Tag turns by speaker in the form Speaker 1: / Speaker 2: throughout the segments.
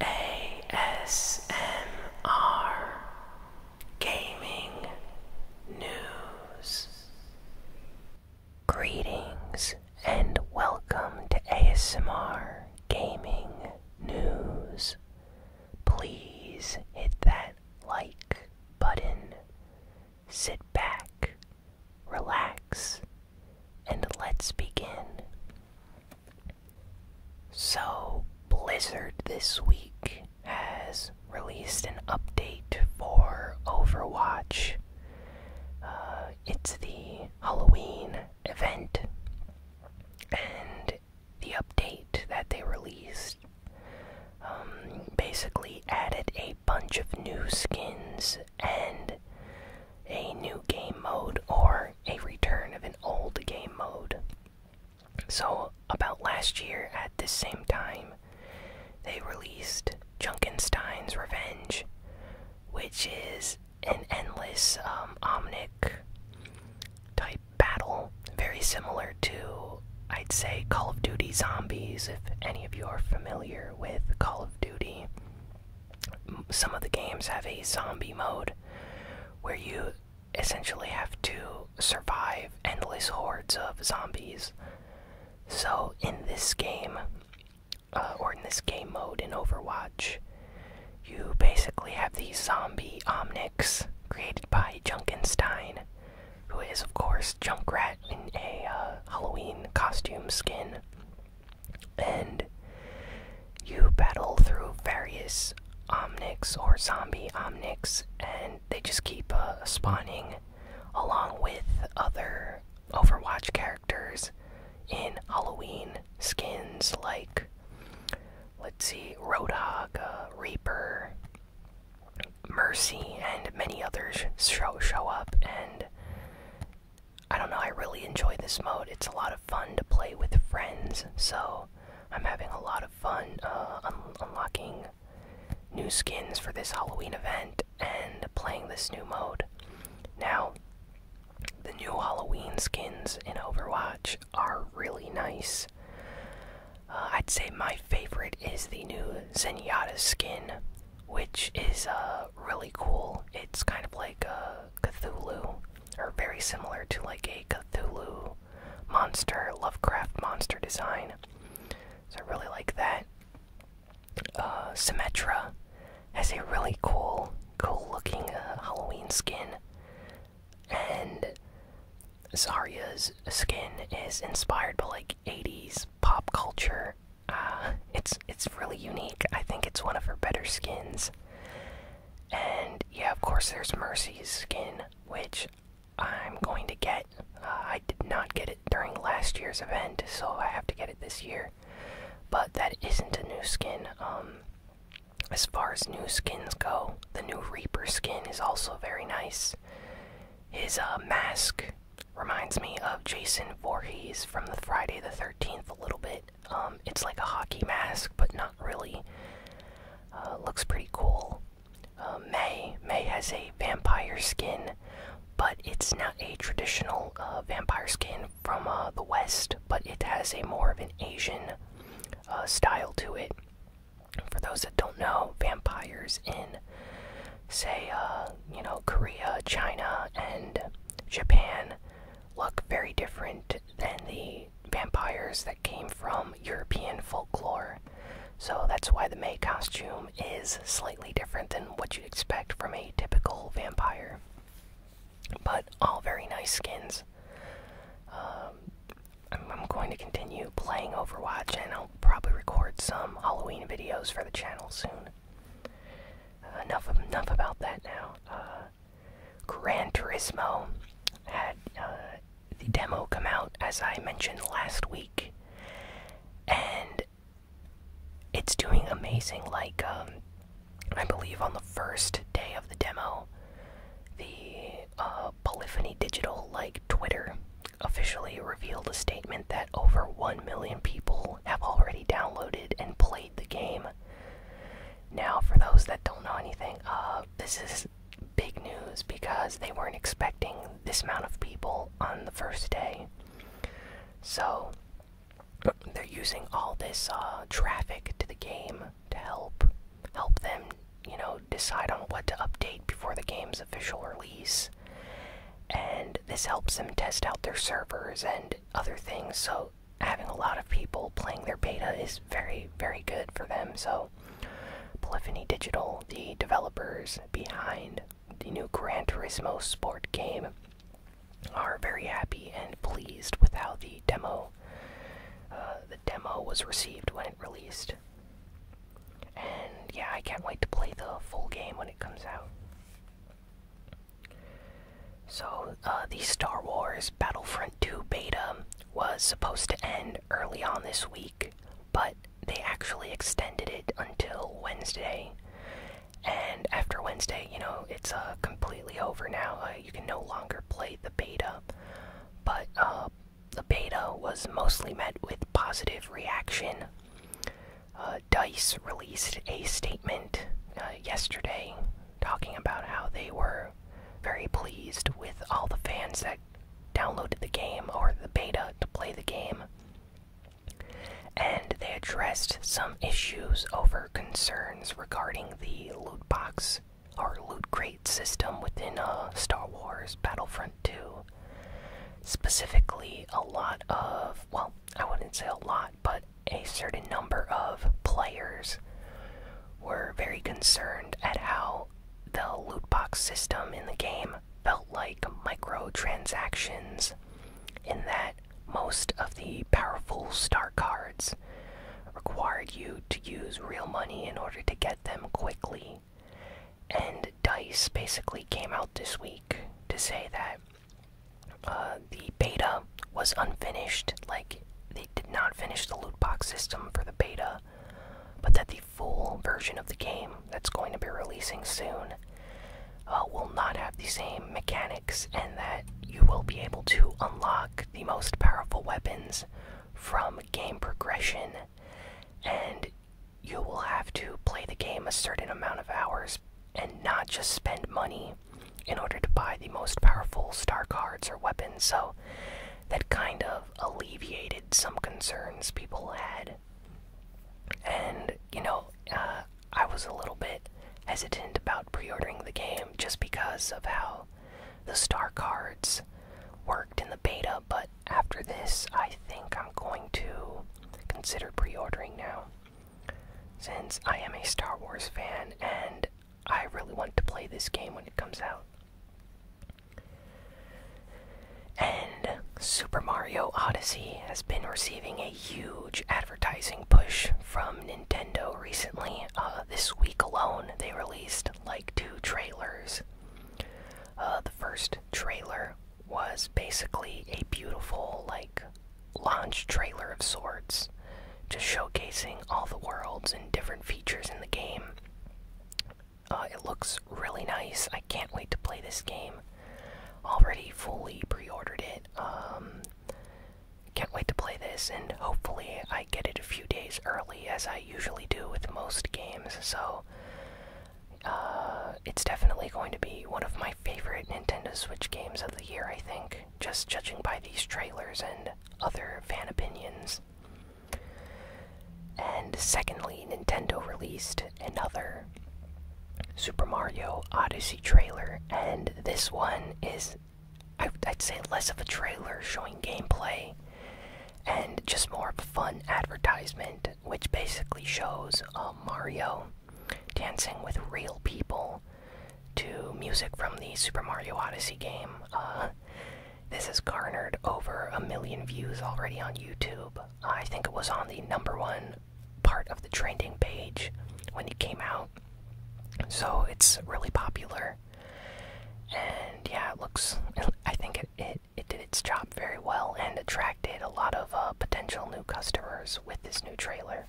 Speaker 1: ASMR Gaming News. Greetings and welcome to ASMR Gaming News. Please hit that like button, sit back, relax, and let's begin. So, Blizzard this week has released an update for Overwatch. Uh, it's the Halloween event, and the update that they released um, basically added a bunch of new skins and a new game mode or a return of an old game mode. So, about last year at this same time, they released Junkenstein's Revenge, which is an endless um, Omnic type battle, very similar to, I'd say, Call of Duty Zombies, if any of you are familiar with Call of Duty some of the games have a zombie mode where you essentially have to survive endless hordes of zombies. So, in this game, uh, or in this game mode in Overwatch, you basically have the zombie Omnix created by Junkenstein, who is, of course, Junkrat in a uh, Halloween costume skin and you battle through various omnics or zombie omnics, and they just keep uh, spawning along with other Overwatch characters in Halloween skins like, let's see, Roadhog, uh, Reaper, Mercy, and many others show, show up, and I don't know, I really enjoy this mode. It's a lot of fun to play with friends, so I'm having a lot of fun uh, unlocking new skins for this Halloween event and playing this new mode. Now, the new Halloween skins in Overwatch are really nice. Uh, I'd say my favorite is the new Zenyatta skin, which is uh, really cool. It's kind of like a Cthulhu, or very similar to like a Cthulhu monster, Lovecraft monster design. So I really like that. Uh, Symmetra has a really cool, cool looking uh, Halloween skin. And Zarya's skin is inspired by like 80s pop culture. Uh, it's it's really unique. I think it's one of her better skins. And yeah, of course, there's Mercy's skin, which I'm going to get. Uh, I did not get it during last year's event, so I have to get it this year. But that isn't a new skin. Um, as far as new skins go, the new Reaper skin is also very nice. His uh, mask reminds me of Jason Voorhees from the Friday the 13th a little bit. Um, it's like a hockey mask, but not really. Uh, looks pretty cool. Uh, May May has a vampire skin, but it's not a traditional uh, vampire skin from the West. But it has a more of an Asian style to it. For those that don't know, vampires in, say, you know, Korea, China, and Japan look very different than the vampires that came from European folklore. So that's why the May costume is slightly different than what you'd expect from a typical vampire. But all very nice skins. Um, I'm, going to continue playing Overwatch and I'll probably record some Halloween videos for the channel soon. Uh, enough, enough about that now. Uh, Gran Turismo had uh, the demo come out, as I mentioned last week, and it's doing amazing. Like, um, I believe on the first day of the demo, the uh, Polyphony Digital, like Twitter, officially revealed a statement that over 1 million people have already downloaded and played the game. Now, for those that don't know anything, uh, this is big news because they weren't expecting this amount of people on the first day. So, they're using all this uh, traffic to the game to help help them, you know, decide on what to update before the game's official release. And this helps them test out their servers and other things so having a lot of people playing their beta is very, very good for them. So, Polyphony Digital, the developers behind the new Gran Turismo Sport game, are very happy and pleased with how the demo, uh, the demo was received when it released. And yeah, I can't wait to play the full game when it comes out. So, uh, the Star Wars Battlefront 2 beta was supposed to end early on this week, but they actually extended it until Wednesday. And after Wednesday, you know, it's uh, completely over now. Uh, you can no longer play the beta. But the beta was mostly met with positive reaction. DICE released a statement yesterday talking about how they were very pleased with all the fans that downloaded the game or the beta to play the game. And they addressed some issues over concerns regarding the loot box or loot crate system within a uh, Star Wars Battlefront 2. Specifically, a lot of, well, I wouldn't say a lot, but a certain number of players were very concerned at how the loot box system in the game felt like microtransactions, in that most of the powerful star cards required you to use real money in order to get them quickly. And DICE basically came out this week to say that uh, the beta um, was unfinished, like they did not finish the loot box system for the beta, but that the full version of the game that's going to be releasing soon uh, will not have the same mechanics, and that you will be able to unlock the most powerful weapons from game progression, and you will have to play the game a certain amount of hours and not just spend money in order to buy the most powerful star cards or weapons, so that kind of alleviated some concerns people had. And, you know, uh, I was a little bit hesitant about pre ordering the game just because of how the star cards worked in the beta, but after this, I think I'm going to consider pre ordering now. Since I am a Star Wars fan and I really want to play this game when it comes out. And Super Mario Odyssey has been receiving a huge advertising push from Nintendo recently. Uh, this week alone, they released like two trailers. Uh, the first trailer was basically a beautiful, like, launch trailer of sorts just showcasing all the worlds and different features in the game. Uh, it looks really nice. I can't wait to play this game. Already fully pre ordered it. Um, can't wait to play this, and hopefully, I get it a few days early as I usually do with most games. So, uh, it's definitely going to be one of my favorite Nintendo Switch games of the year, I think just judging by these trailers and other fan opinions. And secondly, Nintendo released another Super Mario Odyssey trailer, and this one is, I'd say, less of a trailer showing gameplay and just more of a fun advertisement, which basically shows uh, Mario dancing with real people to music from the Super Mario Odyssey game. Uh, this has garnered over a million views already on YouTube. I think it was on the number one part of the trending page when it came out. So it's really popular. And yeah, it looks. I think it, it, did its job very well and attracted a lot of uh, potential new customers with this new trailer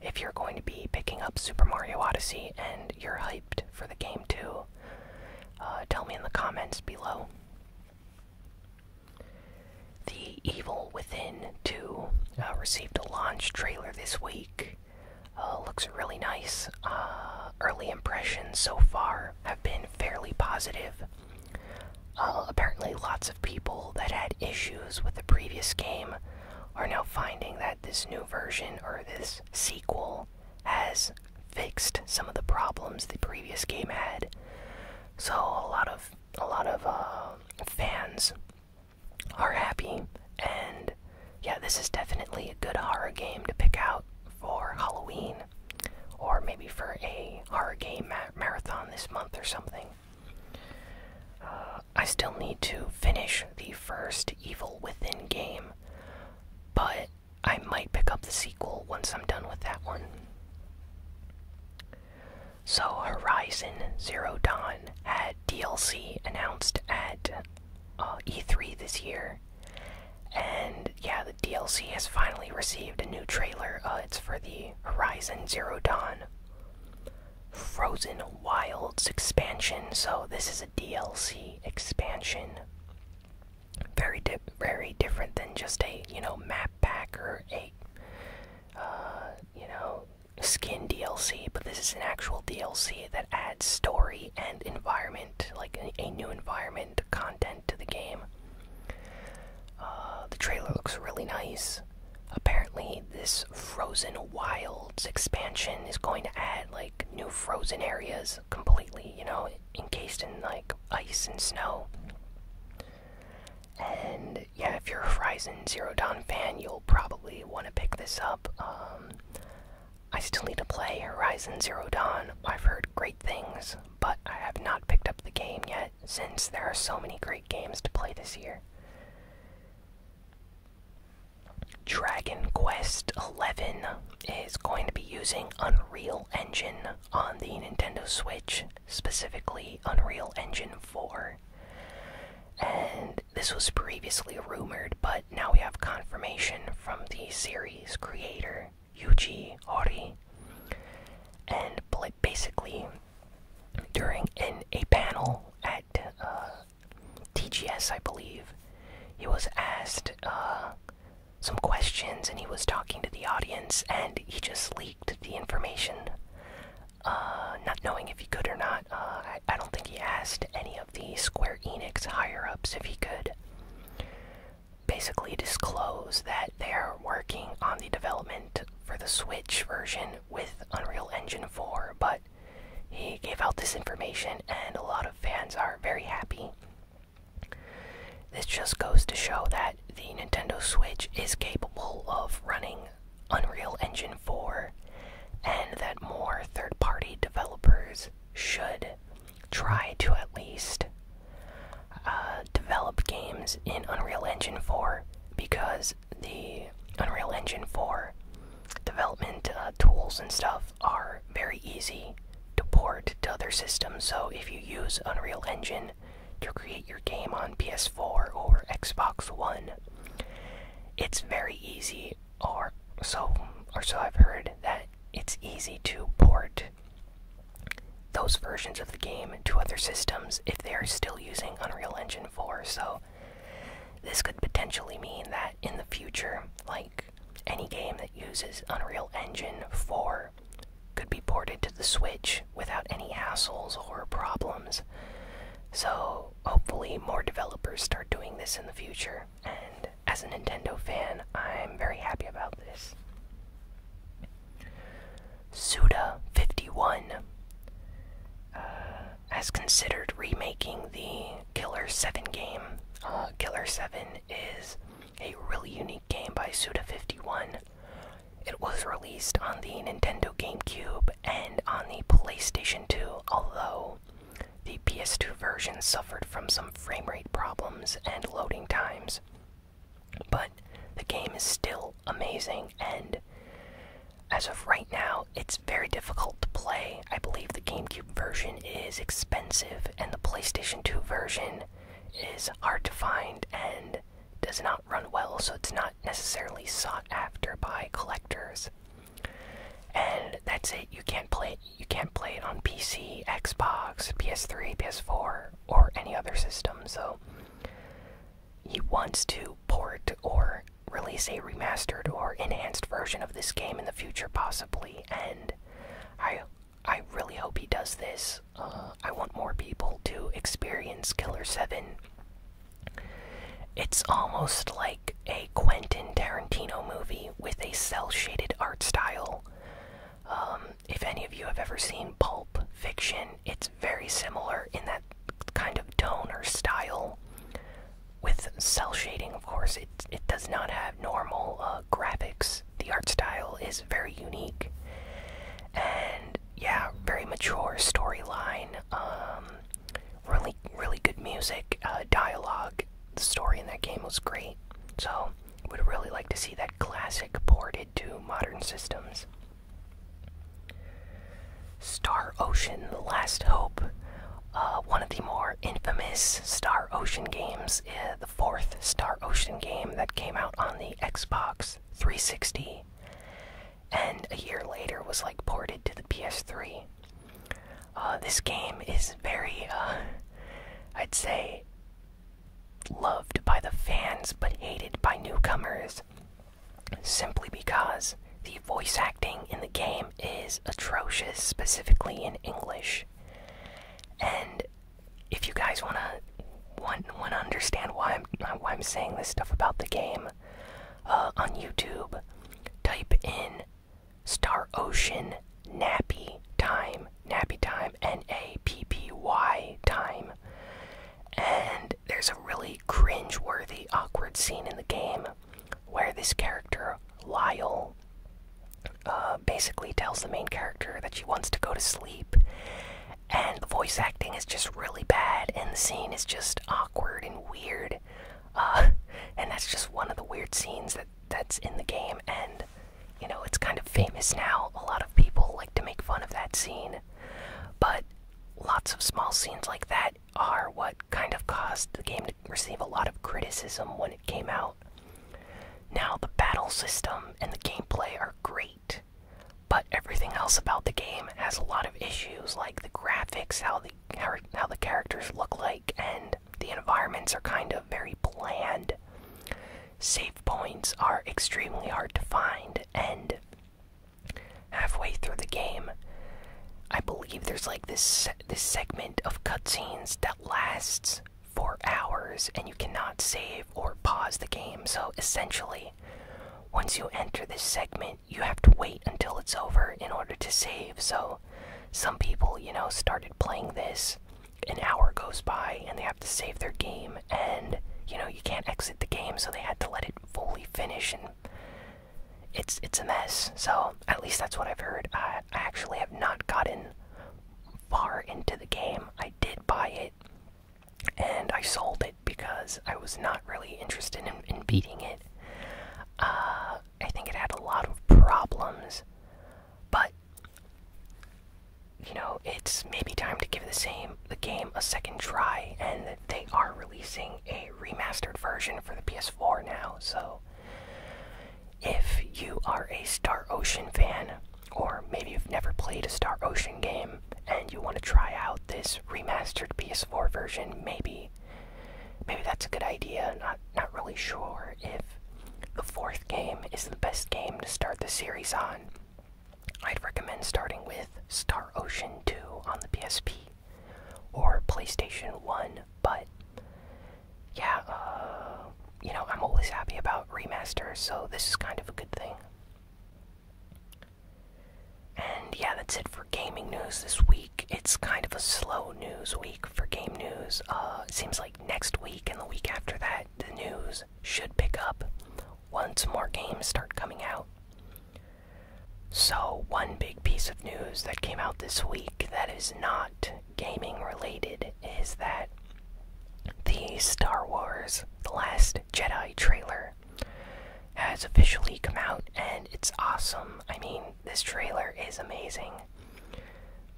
Speaker 1: if you're going to be picking up Super Mario Odyssey and you're hyped for the game too, uh, tell me in the comments below. The Evil Within 2 uh, received a launch trailer this week. Uh, looks really nice. early impressions so far have been fairly positive. apparently, lots of people that had issues with the previous game are now finding that this new version or this sequel has fixed some of the problems the previous game had. So a lot of a lot of uh, fans are happy, and yeah, this is definitely a good horror game to pick out for Halloween, or maybe for a horror game marathon this month or something. Uh, I still need to finish the first Evil Within game, but I might pick up the sequel once I'm done with that one. So, Horizon Zero Dawn had DLC announced at uh, E3 this year, and yeah, the DLC has finally received a new trailer. Uh, it's for the Horizon Zero Dawn. Frozen Wilds expansion. So this is a DLC expansion. Very very different than just a you know map pack or a uh, you know skin DLC, but this is an actual DLC that adds story and environment, like a, new environment content to the game. Uh, the trailer looks really nice. Apparently, this Frozen Wilds expansion is going to add like new frozen areas completely, you know, encased in like ice and snow. And yeah, if you're a Horizon Zero Dawn fan, you'll probably want to pick this up. Um, I still need to play Horizon Zero Dawn. I've heard great things, but I have not picked up the game yet since there are so many great games to play this year. Dragon Quest XI is going to be using Unreal Engine on the Nintendo Switch, specifically Unreal Engine 4. And this was previously rumored, but now we have confirmation from the series creator, Yuji Ori. And basically, during an, a panel at uh, TGS, I believe, he was asked uh, some questions and he was talking to the audience and he just leaked the information, uh, not knowing if he could or not. Uh, I don't think he asked any of the Square Enix higher ups if he could basically disclose that they're working on the development for the Switch version with Unreal Engine 4, but he gave out this information, and a lot of fans are very happy. This just goes to show that the Nintendo Switch is capable of running Unreal Engine 4, and that more third party developers should try to at least uh, develop games in Unreal Engine 4 because the Unreal Engine 4 development uh, tools and stuff are very easy to port to other systems. So if you use Unreal Engine to create your game on PS4 or Xbox One, it's very easy, or so, or so I've heard that it's easy to port those versions of the game to other systems if they are still using Unreal Engine 4. So this could potentially mean that in the future, like any game that uses Unreal Engine 4 could be ported to the Switch without any hassles or problems. So, hopefully, more developers start doing this in the future, and as a Nintendo fan, I'm very happy about this. Suda51 has considered remaking the Killer 7 game. Uh, Killer 7 is a really unique game by Suda51. It was released on the Nintendo GameCube and on the PlayStation 2, although the PS2 version suffered from some frame rate problems and loading times. But the game is still amazing, and as of right now, it's very difficult to play. I believe the GameCube version is expensive, and the PlayStation 2 version is hard to find and does not run well, so it's not necessarily sought after by collectors. And that's it. You can't play it. You can't play it on PC, Xbox, PS3, PS4, or any other system. So he wants to port or release a remastered or enhanced version of this game in the future, possibly. And I, I really hope he does this. Uh, I want more people to experience Killer Seven. It's almost like a Quentin Tarantino movie with a cel shaded art style. Um, if any of you have ever seen Pulp Fiction, it's very similar in that kind of tone or style with cell shading, of course, it it does not have normal uh, graphics. The art style is very unique, and yeah, very mature storyline. Um, really, really good music, uh, dialogue. The story in that game was great, so would really like to see that classic ported to modern systems. Star Ocean: The Last Hope. Uh, one of the more infamous Star Ocean games, eh, the fourth Star Ocean game that came out on the Xbox 360 and a year later was like ported to the PS3. Uh, this game is very, uh, I'd say, loved by the fans but hated by newcomers simply because the voice acting in the game is atrocious, specifically in English. And if you guys wanna want to understand why I'm why I'm saying this stuff about the game, uh, on YouTube, type in Star Ocean Nappy Time, Nappy Time, N A P P Y Time, and there's a really cringe-worthy, awkward scene in the game where this character, Lyle, uh, basically tells the main character that she wants to go to sleep. And the voice acting is just really bad, and the scene is just awkward and weird. Uh, and that's just one of the weird scenes that that's in the game, and you know it's kind of famous now. A lot of people like to make fun of that scene, but lots of small scenes like that are what kind of caused the game to receive a lot of criticism when it came out. Now, the battle system and the gameplay are great, but everything else about the game has a lot of issues, like the graphics, how the, how the characters look like, and the environments are kind of very bland. Save points are extremely hard to find, and halfway through the game, I believe there's like this this segment of cutscenes that lasts for hours and you cannot save or pause the game. So essentially, once you enter this segment, you have to wait until it's over in order to save. So some people, you know, started playing this, an hour goes by and they have to save their game and you know, you can't exit the game, so they had to let it fully finish and it's it's a mess. So at least that's what I've heard. I, actually have not gotten far into the game. I did buy it, and I sold it because I was not really interested in, beating it. Uh, I think it had a lot of problems, but you know it's maybe time to give the same the game a second try, and they are releasing a remastered version for the PS4 now, so if you are a Star Ocean fan, or maybe you've never played a Star Ocean game and you want to try out this remastered PS4 version, maybe maybe that's a good idea. Not not really sure if the fourth game is the best game to start the series on. I'd recommend starting with Star Ocean 2 on the PSP or PlayStation 1, but yeah, uh, you know, I'm always happy about remasters, so this is kind of a good thing. And yeah, that's it for gaming news this week. It's kind of a slow news week for game news. Uh, seems like next week and the week after that, the news should pick up once more games start coming out. So, one big piece of news that came out this week that is not gaming related is that the Star Wars The Last Jedi trailer has officially come out and it's awesome. I mean, this trailer is amazing.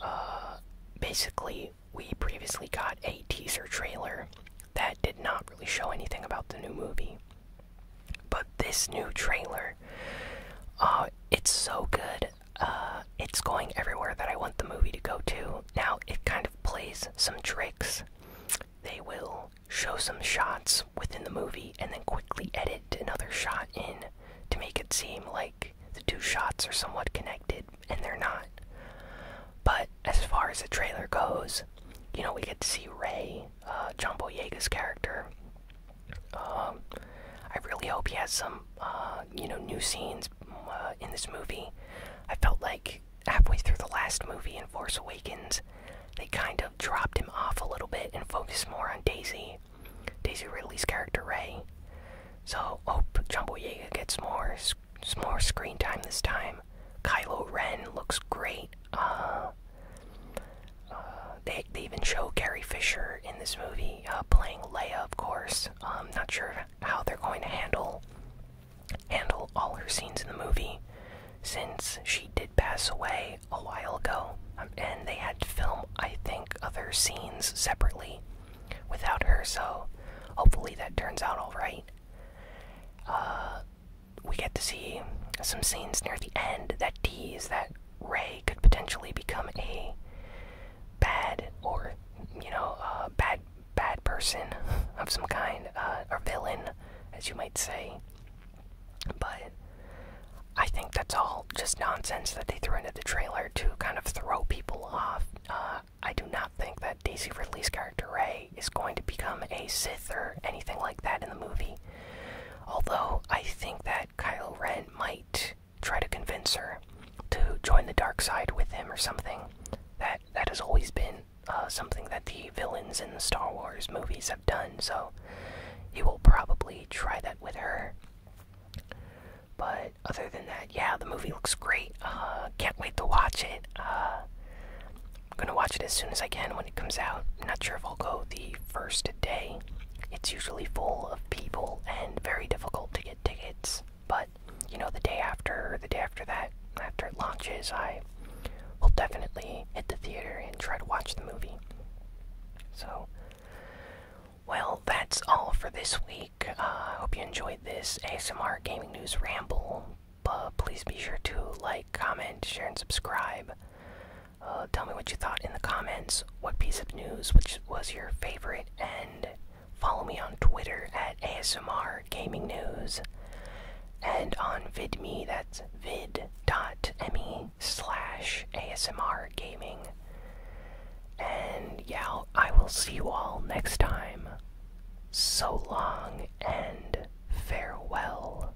Speaker 1: Uh, basically, we previously got a teaser trailer that did not really show anything about the new movie. But this new trailer, uh, it's so good. Uh, it's going everywhere that I want the movie to go to. Now it kind of plays some tricks. They will show some shots within the movie and then quickly edit another shot in to make it seem like the two shots are somewhat connected, and they're not. But as far as the trailer goes, you know, we get to see Ray, Jumbo uh, John character, um, I really hope he has some, uh, you know, new scenes uh, in this movie. I felt like halfway through the last movie in Force Awakens, they kind of dropped him off a little bit and focused more on Daisy, Daisy Ridley's character Ray. So hope John Boyega gets more, more screen time this time. Kylo Ren looks great. Uh, they, they even show Gary Fisher in this movie uh, playing Leia, of course. I'm um, not sure how they're going to handle handle all her scenes in the movie, since she did pass away a while ago, um, and they had to film, I think, other scenes separately without her. So hopefully that turns out all right. Uh, we get to see some scenes near the end that tease that Ray could potentially become a bad or you know a bad bad person of some kind uh, or villain, as you might say. But I think that's all just nonsense that they threw into the trailer to kind of throw people off. Uh, I do not think that Daisy Ridley's character Ray is going to become a Sith or anything like that in the movie. Although I think that Kyle Ren might try to convince her to join the dark side with him or something. That that has always been uh, something that the villains in the Star Wars movies have done. So he will probably try that with her. But other than that, yeah, the movie looks great. Uh, can't wait to watch it. Uh, I'm gonna watch it as soon as I can when it comes out. I'm not sure if I'll go the first day. It's usually full of people and very difficult to get tickets. But you know, the day after, the day after that, after it launches, I will definitely hit the theater and try to watch the movie. So, well, that's all for this week. Uh, I hope you enjoyed this ASMR Gaming News Ramble. please be sure to like, comment, share, and subscribe. Uh, tell me what you thought in the comments, what piece of news which was your favorite, and follow me on Twitter at ASMR Gaming News and on VidMe, that's vid.me slash ASMR Gaming. And yeah, I will see you all next time. So long and farewell.